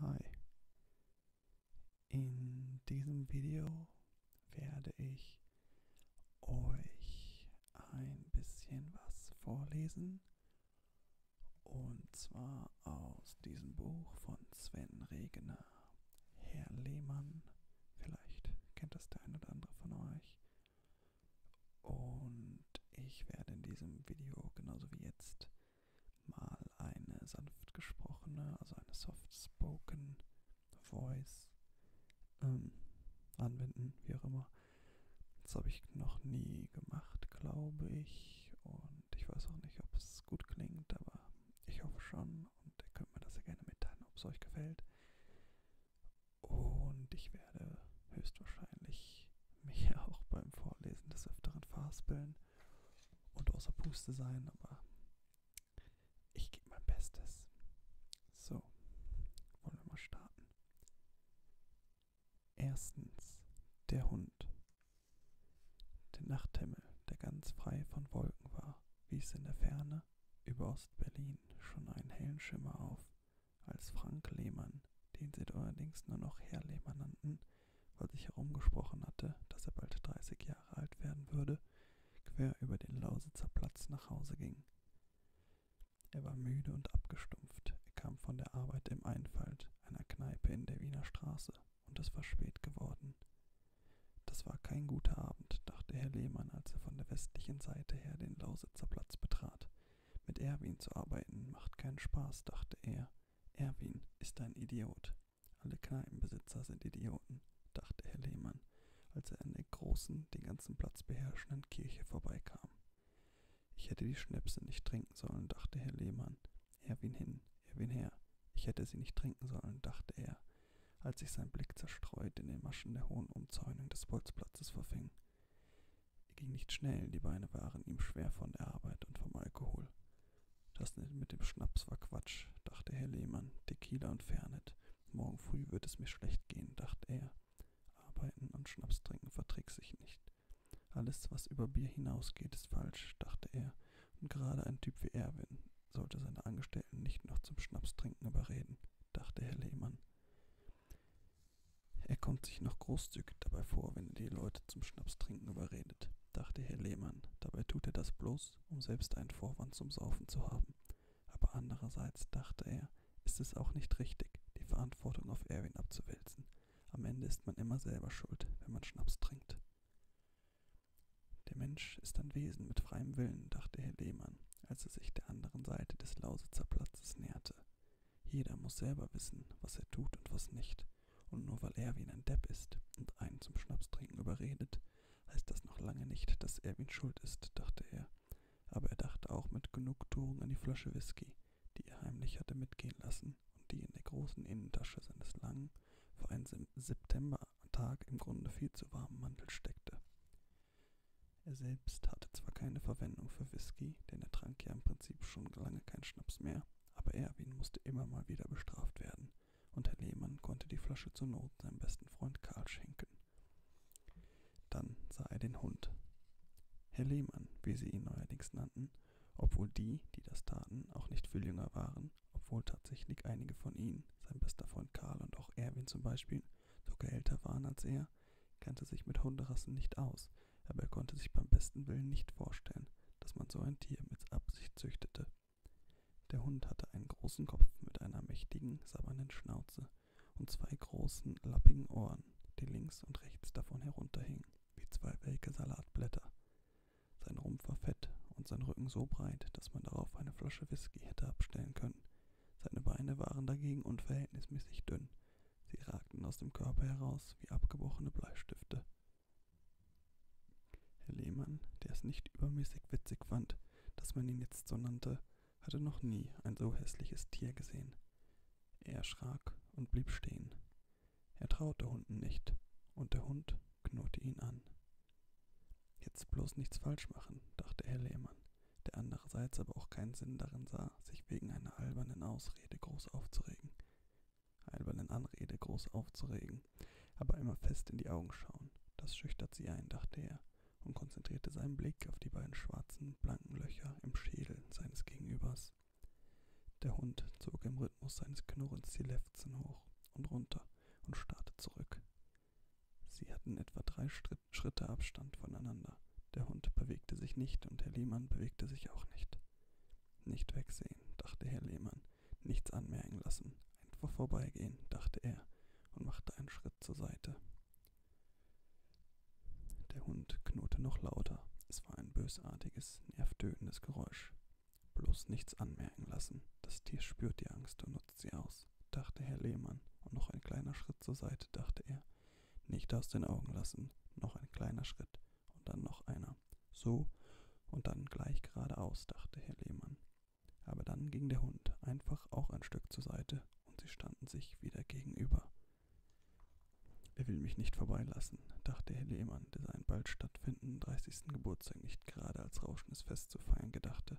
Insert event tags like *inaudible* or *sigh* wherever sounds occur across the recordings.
Hi, in diesem Video werde ich euch ein bisschen was vorlesen und zwar aus diesem Buch von Sven Regener, Herr Lehmann, vielleicht kennt das der ein oder andere von euch und ich werde in diesem Video genauso wie jetzt mal eine sanft gesprochene, also eine soft spoken Voice ähm, anwenden, wie auch immer. Das habe ich noch nie gemacht, glaube ich. Und ich weiß auch nicht, ob es gut klingt, aber ich hoffe schon. Und ihr könnt mir das ja gerne mitteilen, ob es euch gefällt. Und ich werde höchstwahrscheinlich mich ja *laughs* auch beim Vorlesen des Öfteren verhaspeln und außer Puste sein, aber ich gebe mein Bestes. So, wollen wir mal starten. Erstens, der Hund. Der Nachthimmel, der ganz frei von Wolken war, wies in der Ferne über Ostberlin schon einen hellen Schimmer auf, als Frank Lehmann, den sie allerdings nur noch Herr Lehmann nannten, weil sich herumgesprochen hatte, dass er bald 30 Jahre alt werden würde, quer über den Lausitzer Platz nach Hause ging. Er war müde und abgestumpft, er kam von der Arbeit im Einfalt, einer Kneipe in der Wiener Straße, und es war spät geworden. Das war kein guter Abend, dachte Herr Lehmann, als er von der westlichen Seite her den Lausitzer Platz betrat. Mit Erwin zu arbeiten macht keinen Spaß, dachte er, Erwin ist ein Idiot. Alle Kneipenbesitzer sind Idioten, dachte Herr Lehmann, als er an der großen, den ganzen Platz beherrschenden Kirche vorbeikam. Ich hätte die Schnäpse nicht trinken sollen, dachte Herr Lehmann. Erwin hin, Erwin her. Ich hätte sie nicht trinken sollen, dachte er, als sich sein Blick zerstreut in den Maschen der hohen Umzäunung des Bolzplatzes verfing. Er ging nicht schnell, die Beine waren ihm schwer von der Arbeit und vom Alkohol. Das mit dem Schnaps war Quatsch, dachte Herr Lehmann, Tequila und Fernet. Morgen früh wird es mir schlecht gehen, dachte er. Arbeiten und Schnaps trinken verträgt sich nicht. Alles, was über Bier hinausgeht, ist falsch, dachte er, und gerade ein Typ wie Erwin sollte seine Angestellten nicht noch zum Schnapstrinken überreden, dachte Herr Lehmann. Er kommt sich noch großzügig dabei vor, wenn er die Leute zum Schnapstrinken überredet, dachte Herr Lehmann. Dabei tut er das bloß, um selbst einen Vorwand zum Saufen zu haben. Aber andererseits, dachte er, ist es auch nicht richtig, die Verantwortung auf Erwin abzuwälzen. Am Ende ist man immer selber schuld, wenn man Schnaps trinkt. Der Mensch ist ein Wesen mit freiem Willen, dachte Herr Lehmann, als er sich der anderen Seite des Lausitzer Platzes näherte. Jeder muss selber wissen, was er tut und was nicht. Und nur weil Erwin ein Depp ist und einen zum Schnapstrinken überredet, heißt das noch lange nicht, dass Erwin schuld ist, dachte er. Aber er dachte auch mit Genugtuung an die Flasche Whisky, die er heimlich hatte mitgehen lassen und die in der großen Innentasche seines langen, für einen Septembertag im Grunde viel zu warmen Mantel steckte. Er selbst hatte zwar keine Verwendung für Whisky, denn er trank ja im Prinzip schon lange keinen Schnaps mehr, aber Erwin musste immer mal wieder bestraft werden, und Herr Lehmann konnte die Flasche zur Not seinem besten Freund Karl schenken. Dann sah er den Hund. Herr Lehmann, wie sie ihn neuerdings nannten, obwohl die, die das taten, auch nicht viel jünger waren, obwohl tatsächlich einige von ihnen, sein bester Freund Karl und auch Erwin zum Beispiel, sogar älter waren als er, kannte sich mit Hunderassen nicht aus, aber er konnte sich beim besten Willen nicht vorstellen, dass man so ein Tier mit Absicht züchtete. Der Hund hatte einen großen Kopf mit einer mächtigen, sabbernden Schnauze und zwei großen, lappigen Ohren, die links und rechts davon herunterhingen, wie zwei welke Salatblätter. Sein Rumpf war fett und sein Rücken so breit, dass man darauf eine Flasche Whisky hätte abstellen können. Seine Beine waren dagegen unverhältnismäßig dünn, Sie ragten aus dem Körper heraus wie abgebrochene Bleistifte. Herr Lehmann, der es nicht übermäßig witzig fand, dass man ihn jetzt so nannte, hatte noch nie ein so hässliches Tier gesehen. Er erschrak und blieb stehen. Er traute Hunden nicht, und der Hund knurrte ihn an. Jetzt bloß nichts falsch machen, dachte Herr Lehmann, der andererseits aber auch keinen Sinn darin sah, sich wegen einer albernen Ausrede groß aufzuregen albernen Anrede groß aufzuregen, aber immer fest in die Augen schauen. Das schüchtert sie ein, dachte er und konzentrierte seinen Blick auf die beiden schwarzen, blanken Löcher im Schädel seines Gegenübers. Der Hund zog im Rhythmus seines Knurrens die Lefzen hoch und runter und starrte zurück. Sie hatten etwa drei Schritt Schritte Abstand voneinander. Der Hund bewegte sich nicht und Herr Lehmann bewegte sich auch nicht. Nicht wegsehen, dachte Herr Lehmann, nichts anmerken lassen, einfach vorbeigehen, dachte er und machte einen Schritt zur Seite. Der Hund knurrte noch lauter. Es war ein bösartiges, nervtötendes Geräusch. Bloß nichts anmerken lassen. Das Tier spürt die Angst und nutzt sie aus, dachte Herr Lehmann, und noch ein kleiner Schritt zur Seite, dachte er. Nicht aus den Augen lassen, noch ein kleiner Schritt und dann noch einer. So und dann gleich geradeaus, dachte Herr Lehmann. Aber dann ging der Hund einfach auch ein Stück zur Seite und sie standen sich wieder gegenüber. Er will mich nicht vorbeilassen, dachte Herr Lehmann, der seinen bald stattfindenden 30. Geburtstag nicht gerade als rauschendes Fest zu feiern gedachte,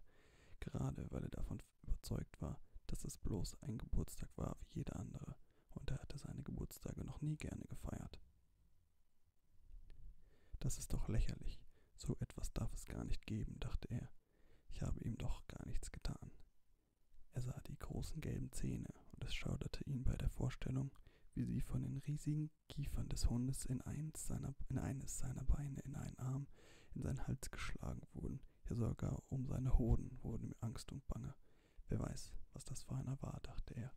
gerade weil er davon überzeugt war, dass es bloß ein Geburtstag war wie jeder andere und er hatte seine Geburtstage noch nie gerne gefeiert. Das ist doch lächerlich, so etwas darf es gar nicht geben, dachte er. Ich habe ihm doch gar nichts getan. Er sah die großen gelben Zähne und es schauderte ihn bei der Vorstellung, wie sie von den riesigen Kiefern des Hundes in eins seiner, in eines seiner Beine, in einen Arm, in seinen Hals geschlagen wurden. Ja, sogar um seine Hoden wurde mir Angst und Bange. Wer weiß, was das für einer war, dachte er.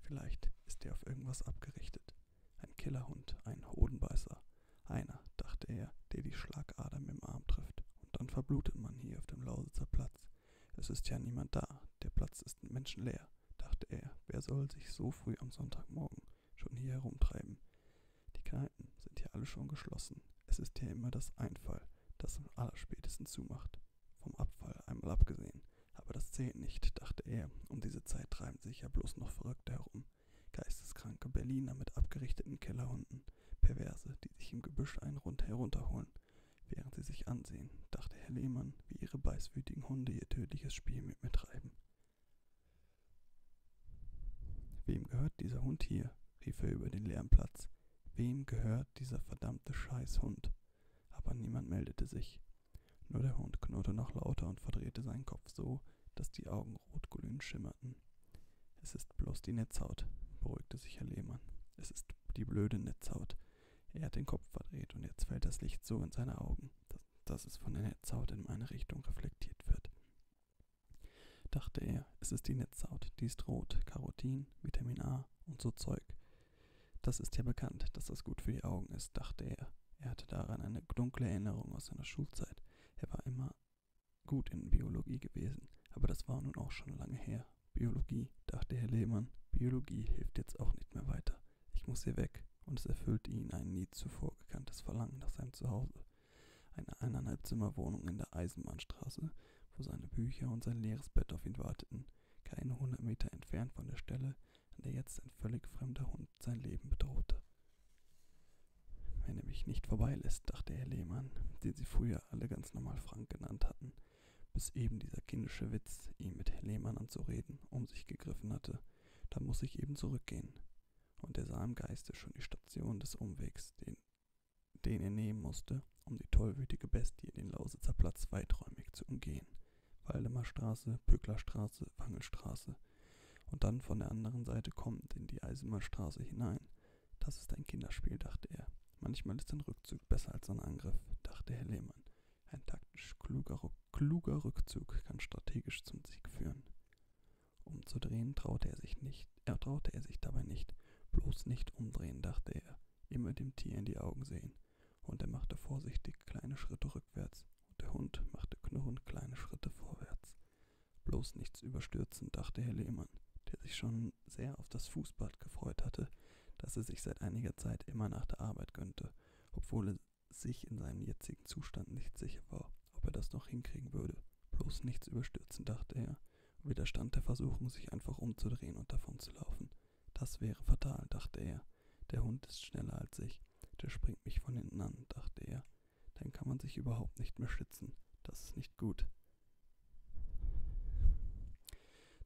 Vielleicht ist er auf irgendwas abgerichtet. Ein Killerhund, ein Hodenbeißer. Einer, dachte er, der die Schlagader mit dem Arm trifft. Und dann verblutet man hier auf dem Lausitzer Platz. Es ist ja niemand da, der Platz ist menschenleer, dachte er. Wer soll sich so früh am Sonntagmorgen schon hier herumtreiben? Die Kneipen sind hier alle schon geschlossen. Es ist hier immer das Einfall, das am allerspätesten zumacht. Vom Abfall einmal abgesehen. Aber das zählt nicht, dachte er. Um diese Zeit treiben sich ja bloß noch Verrückte herum. Geisteskranke Berliner mit abgerichteten Kellerhunden. Perverse, die sich im Gebüsch einen Rund herunterholen. Während sie sich ansehen, dachte Herr Lehmann, wie ihre beißwütigen Hunde ihr tödliches Spiel mit mir treiben. Wem gehört dieser Hund hier? rief er über den leeren Platz. Wem gehört dieser verdammte Scheißhund? Aber niemand meldete sich. Nur der Hund knurrte noch lauter und verdrehte seinen Kopf so, dass die Augen rotglühend schimmerten. Es ist bloß die Netzhaut, beruhigte sich Herr Lehmann. Es ist die blöde Netzhaut. Er hat den Kopf verdreht und jetzt fällt das Licht so in seine Augen, dass, dass es von der Netzhaut in meine Richtung reflektiert wird. Dachte er, es ist die Netzhaut, die ist rot, Carotin, Vitamin A und so Zeug. Das ist ja bekannt, dass das gut für die Augen ist, dachte er. Er hatte daran eine dunkle Erinnerung aus seiner Schulzeit. Er war immer gut in Biologie gewesen, aber das war nun auch schon lange her. Biologie, dachte Herr Lehmann, Biologie hilft jetzt auch nicht mehr weiter. Ich muss hier weg, und es erfüllte ihn ein nie zuvor gekanntes Verlangen nach seinem Zuhause. Eine eineinhalb Zimmer Wohnung in der Eisenbahnstraße, wo seine Bücher und sein leeres Bett auf ihn warteten keine 100 Meter entfernt von der Stelle, an der jetzt ein völlig fremder Hund sein Leben bedrohte. Wenn er mich nicht vorbeilässt, dachte Herr Lehmann, den sie früher alle ganz normal Frank genannt hatten, bis eben dieser kindische Witz, ihm mit Herr Lehmann anzureden, um sich gegriffen hatte, da muss ich eben zurückgehen. Und er sah im Geiste schon die Station des Umwegs, den den er nehmen musste, um die tollwütige Bestie den Lausitzer Platz weiträumig zu umgehen. Waldemarstraße, Pöcklerstraße, Wangelstraße und dann von der anderen Seite kommend in die Eisenbahnstraße hinein. Das ist ein Kinderspiel, dachte er. Manchmal ist ein Rückzug besser als ein Angriff, dachte Herr Lehmann. Ein taktisch kluger, kluger Rückzug kann strategisch zum Sieg führen. Umzudrehen traute er sich nicht, er traute er sich dabei nicht, bloß nicht umdrehen, dachte er immer dem Tier in die Augen sehen, und er machte vorsichtig kleine Schritte rückwärts, und der Hund machte knurrend kleine Schritte vorwärts. Bloß nichts überstürzen, dachte Herr Lehmann, der sich schon sehr auf das Fußbad gefreut hatte, das er sich seit einiger Zeit immer nach der Arbeit gönnte, obwohl er sich in seinem jetzigen Zustand nicht sicher war, ob er das noch hinkriegen würde. Bloß nichts überstürzen, dachte er, und widerstand der Versuchung, sich einfach umzudrehen und davonzulaufen. Das wäre fatal, dachte er. Der Hund ist schneller als ich. Der springt mich von hinten an, dachte er. Dann kann man sich überhaupt nicht mehr schützen. Das ist nicht gut.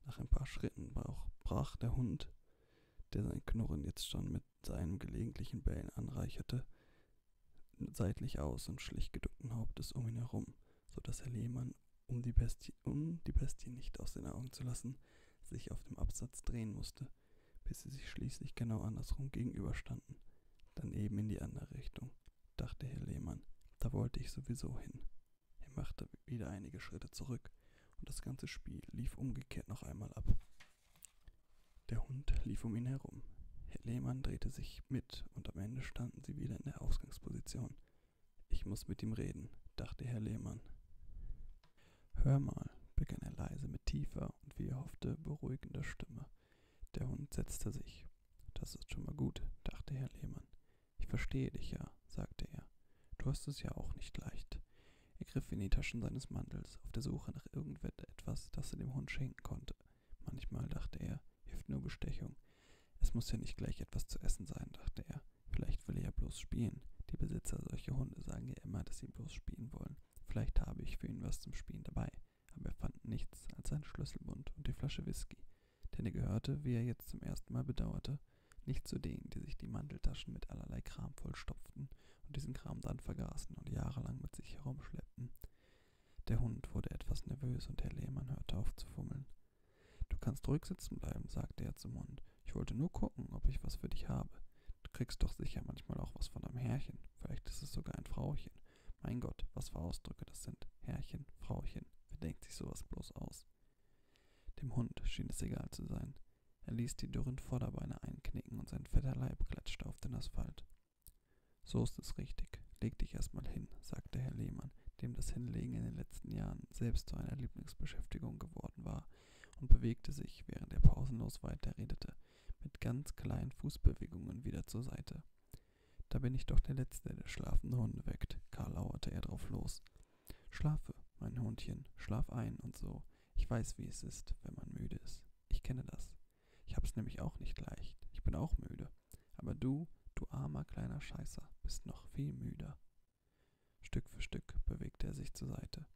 Nach ein paar Schritten brach der Hund, der sein Knurren jetzt schon mit seinem gelegentlichen Bellen anreicherte, seitlich aus und schlich geduckten Hauptes um ihn herum sodass Herr Lehmann, um die, Bestie, um die Bestie nicht aus den Augen zu lassen, sich auf dem Absatz drehen musste, bis sie sich schließlich genau andersrum gegenüberstanden. Dann eben in die andere Richtung, dachte Herr Lehmann. Da wollte ich sowieso hin. Er machte wieder einige Schritte zurück und das ganze Spiel lief umgekehrt noch einmal ab. Der Hund lief um ihn herum. Herr Lehmann drehte sich mit und am Ende standen sie wieder in der Ausgangsposition. Ich muss mit ihm reden, dachte Herr Lehmann. Hör mal, begann er leise mit tiefer und wie er hoffte beruhigender Stimme. Der Hund setzte sich. Das ist schon mal gut, dachte Herr Lehmann. Ich verstehe dich ja, sagte er. Du hast es ja auch nicht leicht. Er griff in die Taschen seines Mantels, auf der Suche nach irgendetwas, das er dem Hund schenken konnte. Manchmal, dachte er, hilft nur Bestechung. Es muss ja nicht gleich etwas zu essen sein, dachte er. Vielleicht will er ja bloß spielen. Die Besitzer solcher Hunde sagen ja immer, dass sie bloß spielen wollen. Vielleicht habe ich für ihn was zum Spielen dabei. Aber er fand nichts als seinen Schlüsselbund und die Flasche Whisky. Denn er gehörte, wie er jetzt zum ersten Mal bedauerte, nicht zu denen, die sich die Manteltaschen mit allerlei Kram vollstopften und diesen Kram dann vergaßen und jahrelang mit sich herumschleppten. Der Hund wurde etwas nervös und Herr Lehmann hörte auf zu fummeln. Du kannst ruhig sitzen bleiben, sagte er zum Hund. Ich wollte nur gucken, ob ich was für dich habe. Du kriegst doch sicher manchmal auch was von deinem Herrchen. Vielleicht ist es sogar ein Frauchen. Mein Gott, was für Ausdrücke das sind. Herrchen, Frauchen. Wer denkt sich sowas bloß aus? Dem Hund schien es egal zu sein. Er ließ die dürren Vorderbeine einknicken und sein fetter Leib klatschte auf den Asphalt. So ist es richtig. Leg dich erstmal hin, sagte Herr Lehmann, dem das Hinlegen in den letzten Jahren selbst zu einer Lieblingsbeschäftigung geworden war und bewegte sich, während er pausenlos weiterredete, mit ganz kleinen Fußbewegungen wieder zur Seite. Da bin ich doch der Letzte, der schlafende Hunde weckt, Karl lauerte er drauf los. Schlafe, mein Hundchen, schlaf ein und so. Ich weiß, wie es ist, wenn man müde ist. Ich kenne das. Ich hab's nämlich auch nicht leicht. Ich bin auch müde. Aber du, du armer kleiner Scheißer, bist noch viel müder. Stück für Stück bewegte er sich zur Seite.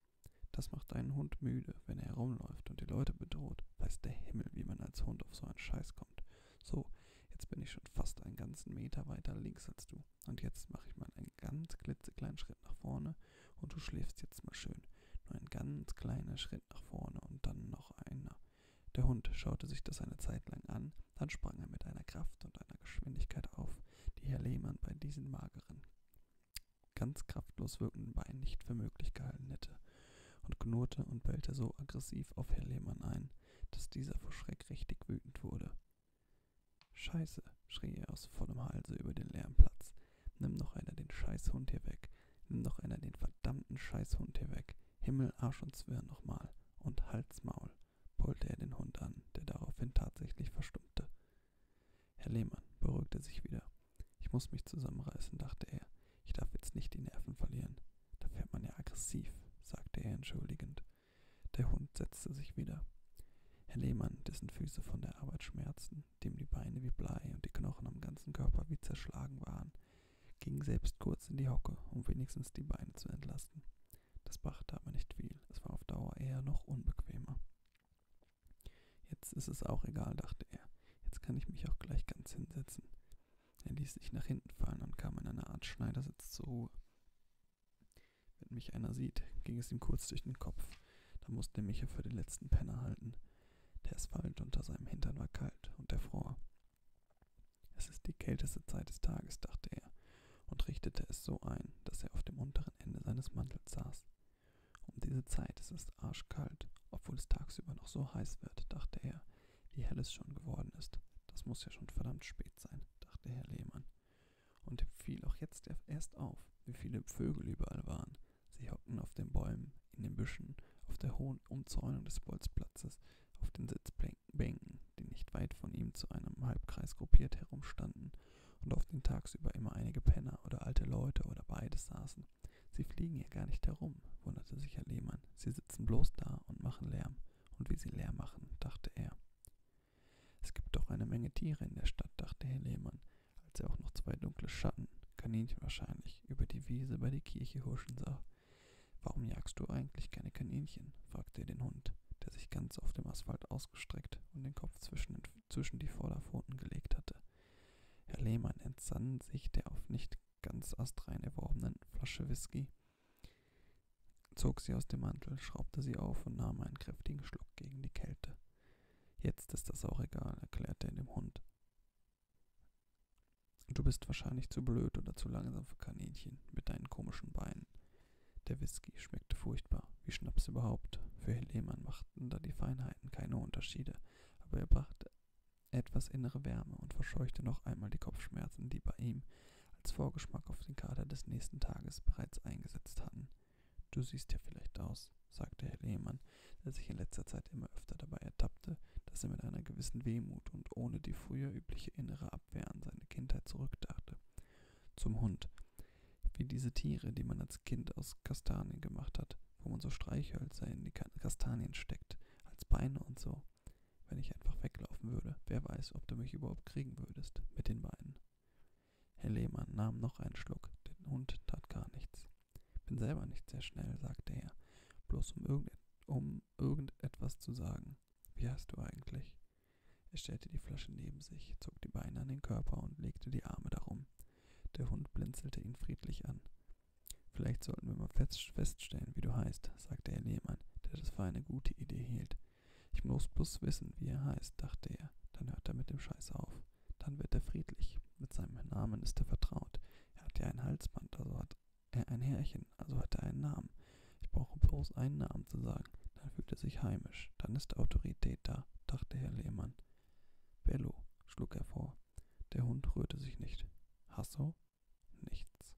Das macht einen Hund müde, wenn er herumläuft und die Leute bedroht. Weiß der Himmel, wie man als Hund auf so einen Scheiß kommt. So, jetzt bin ich schon fast einen ganzen Meter weiter links als du. Und jetzt mache ich mal einen ganz klitzekleinen Schritt nach vorne und du schläfst jetzt mal schön. Nur ein ganz kleiner Schritt nach vorne und dann noch einer. Der Hund schaute sich das eine Zeit lang an, dann sprang er mit einer Kraft und einer Geschwindigkeit auf, die Herr Lehmann bei diesen mageren, ganz kraftlos wirkenden Beinen nicht für möglich gehalten hätte, und knurrte und bellte so aggressiv auf Herr Lehmann ein, dass dieser vor Schreck richtig wütend wurde. Scheiße, schrie er aus vollem Halse über den leeren Platz. Nimm doch einer den Scheißhund hier weg. Nimm doch einer den verdammten Scheißhund hier weg. Himmel, Arsch und Zwirn nochmal. Und Halsmaul pollte er den Hund an, der daraufhin tatsächlich verstummte. Herr Lehmann beruhigte sich wieder. Ich muss mich zusammenreißen, dachte er. Ich darf jetzt nicht die Nerven verlieren. Da fährt man ja aggressiv, sagte er entschuldigend. Der Hund setzte sich wieder. Herr Lehmann, dessen Füße von der Arbeit schmerzten, dem die Beine wie Blei und die Knochen am ganzen Körper wie zerschlagen waren, ging selbst kurz in die Hocke, um wenigstens die Beine zu entlasten. Das brachte aber nicht viel, es war auf Dauer eher noch unbequemer. Jetzt ist es auch egal, dachte er, jetzt kann ich mich auch gleich ganz hinsetzen. Er ließ sich nach hinten fallen und kam in einer Art Schneidersitz zur Ruhe. Wenn mich einer sieht, ging es ihm kurz durch den Kopf, da musste er mich ja für den letzten Penner halten. Der Asphalt unter seinem Hintern war kalt und er fror. Es ist die kälteste Zeit des Tages, dachte er, und richtete es so ein, dass er auf dem unteren Ende seines Mantels saß. Um diese Zeit ist es arschkalt, obwohl es tagsüber noch so heiß wird, dachte er, wie hell es schon geworden ist. Das muss ja schon verdammt spät sein, dachte Herr Lehmann. Und ihm fiel auch jetzt erst auf, wie viele Vögel überall waren. Sie hockten auf den Bäumen, in den Büschen, auf der hohen Umzäunung des Bolzplatzes, auf den Sitzplänen Bänken, die nicht weit von ihm zu einem Halbkreis gruppiert herumstanden und auf den tagsüber immer einige Penner oder alte Leute oder beides saßen. Sie fliegen hier gar nicht herum, wunderte sich Herr Lehmann. Sie sitzen bloß da und machen Lärm. Und wie sie Lärm machen, dachte er. Es gibt doch eine Menge Tiere in der Stadt, dachte Herr Lehmann, als er auch noch zwei dunkle Schatten, Kaninchen wahrscheinlich, über die Wiese bei der Kirche huschen sah. Warum jagst du eigentlich keine Kaninchen? fragte er den Hund, der sich ganz auf dem Asphalt ausgestreckt und den Kopf zwischen, zwischen die Vorderpfoten gelegt hatte. Herr Lehmann entsann sich der auf nicht ganz astrein erworbenen Flasche Whisky, zog sie aus dem Mantel, schraubte sie auf und nahm einen kräftigen Schluck gegen die Kälte. Jetzt ist das auch egal, erklärte er dem Hund. Du bist wahrscheinlich zu blöd oder zu langsam für Kaninchen mit deinen komischen Beinen. Der Whisky schmeckte furchtbar, wie Schnaps überhaupt. Für Helemann machten da die Feinheiten keine Unterschiede, aber er brachte etwas innere Wärme und verscheuchte noch einmal die Kopfschmerzen, die bei ihm als Vorgeschmack auf den Kater des nächsten Tages bereits eingesetzt hatten. Du siehst ja vielleicht aus, sagte Herr Lehmann, der sich in letzter Zeit immer öfter dabei ertappte, dass er mit einer gewissen Wehmut und ohne die früher übliche innere Abwehr an seine meine Kindheit zurückdachte. Zum Hund. Wie diese Tiere, die man als Kind aus Kastanien gemacht hat, wo man so Streichhölzer in die Kastanien steckt, als Beine und so. Wenn ich einfach weglaufen würde, wer weiß, ob du mich überhaupt kriegen würdest, mit den Beinen. Herr Lehmann nahm noch einen Schluck, den Hund tat gar nichts. Bin selber nicht sehr schnell, sagte er, bloß um, irgendet um irgendetwas zu sagen. Gedanken. Wie hast du eigentlich? Er stellte die Flasche neben sich, zog die Beine an den Körper und legte die Arme darum. Der Hund blinzelte ihn friedlich an. Vielleicht sollten wir mal feststellen, wie du heißt, sagte Herr Lehmann, der das für eine gute Idee hielt. Ich muss bloß wissen, wie er heißt, dachte er. Dann hört er mit dem Scheiß auf. Dann wird er friedlich. Mit seinem Namen ist er vertraut. Er hat ja ein Halsband, also hat er ein Herrchen, also hat er einen Namen. Ich brauche bloß einen Namen zu sagen. Dann fühlt er sich heimisch. Dann ist Autorität da, dachte Herr Lehmann. Bello, schlug er vor. Der Hund rührte sich nicht. Hasso? Nichts.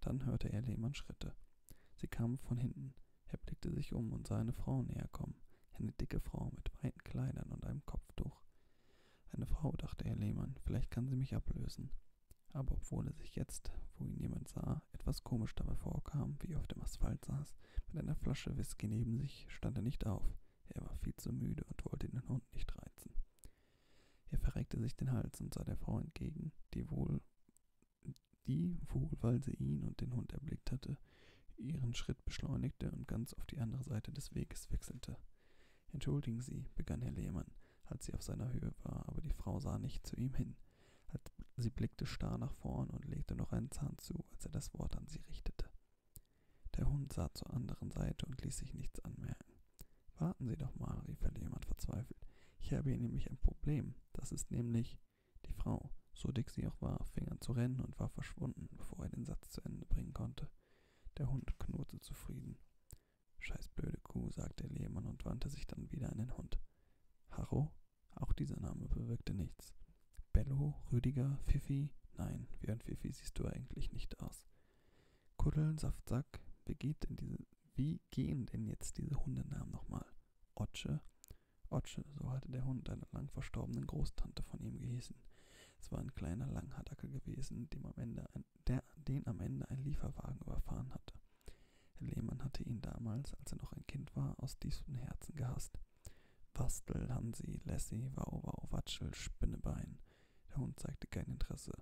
Dann hörte er Lehmann Schritte. Sie kamen von hinten. Er blickte sich um und sah eine Frau näher kommen. Eine dicke Frau mit weiten Kleidern und einem Kopftuch. Eine Frau, dachte Herr Lehmann, vielleicht kann sie mich ablösen. Aber obwohl er sich jetzt, wo ihn jemand sah, etwas komisch dabei vorkam, wie er auf dem Asphalt saß, mit einer Flasche Whisky neben sich, stand er nicht auf. Er war viel zu müde und wollte den Hund nicht reizen. Er verreckte sich den Hals und sah der Frau entgegen, die wohl, die, wohl weil sie ihn und den Hund erblickt hatte, ihren Schritt beschleunigte und ganz auf die andere Seite des Weges wechselte. Entschuldigen Sie, begann Herr Lehmann, als sie auf seiner Höhe war, aber die Frau sah nicht zu ihm hin. Sie blickte starr nach vorn und legte noch einen Zahn zu, als er das Wort an sie richtete. Der Hund sah zur anderen Seite und ließ sich nichts anmerken. Warten Sie doch mal, rief er jemand verzweifelt. Ich habe hier nämlich ein Problem. Das ist nämlich die Frau. So dick sie auch war, fing an zu rennen und war verschwunden, bevor er den Satz zu Ende bringen konnte. Der Hund knurrte zufrieden. Scheiß blöde Kuh, sagte Lehmann und wandte sich dann wieder an den Hund. Harro? Auch dieser Name bewirkte nichts. Bello, Rüdiger, Fifi? Nein, wie ein Fifi siehst du eigentlich nicht aus. Kuddel, Saftsack, wie, geht denn diese, wie gehen denn jetzt diese Hundenamen nochmal? Otsche? Otsche, so hatte der Hund einer lang verstorbenen Großtante von ihm gehießen. Es war ein kleiner Langhattacker gewesen, dem am Ende der den am Ende ein Lieferwagen überfahren hatte. Herr Lehmann hatte ihn damals, als er noch ein Kind war, aus tiefstem Herzen gehasst. Bastel, Hansi, Lassie, Wau, Wau, Watschel, Spinnebein. Der Hund zeigte kein Interesse.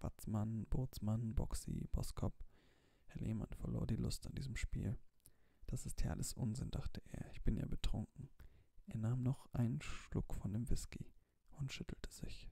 Watzmann, Bootsmann, Boxy, Boskop. Herr Lehmann verlor die Lust an diesem Spiel. Das ist ja alles Unsinn, dachte er. Ich bin ja betrunken. Er nahm noch einen Schluck von dem Whisky und schüttelte sich.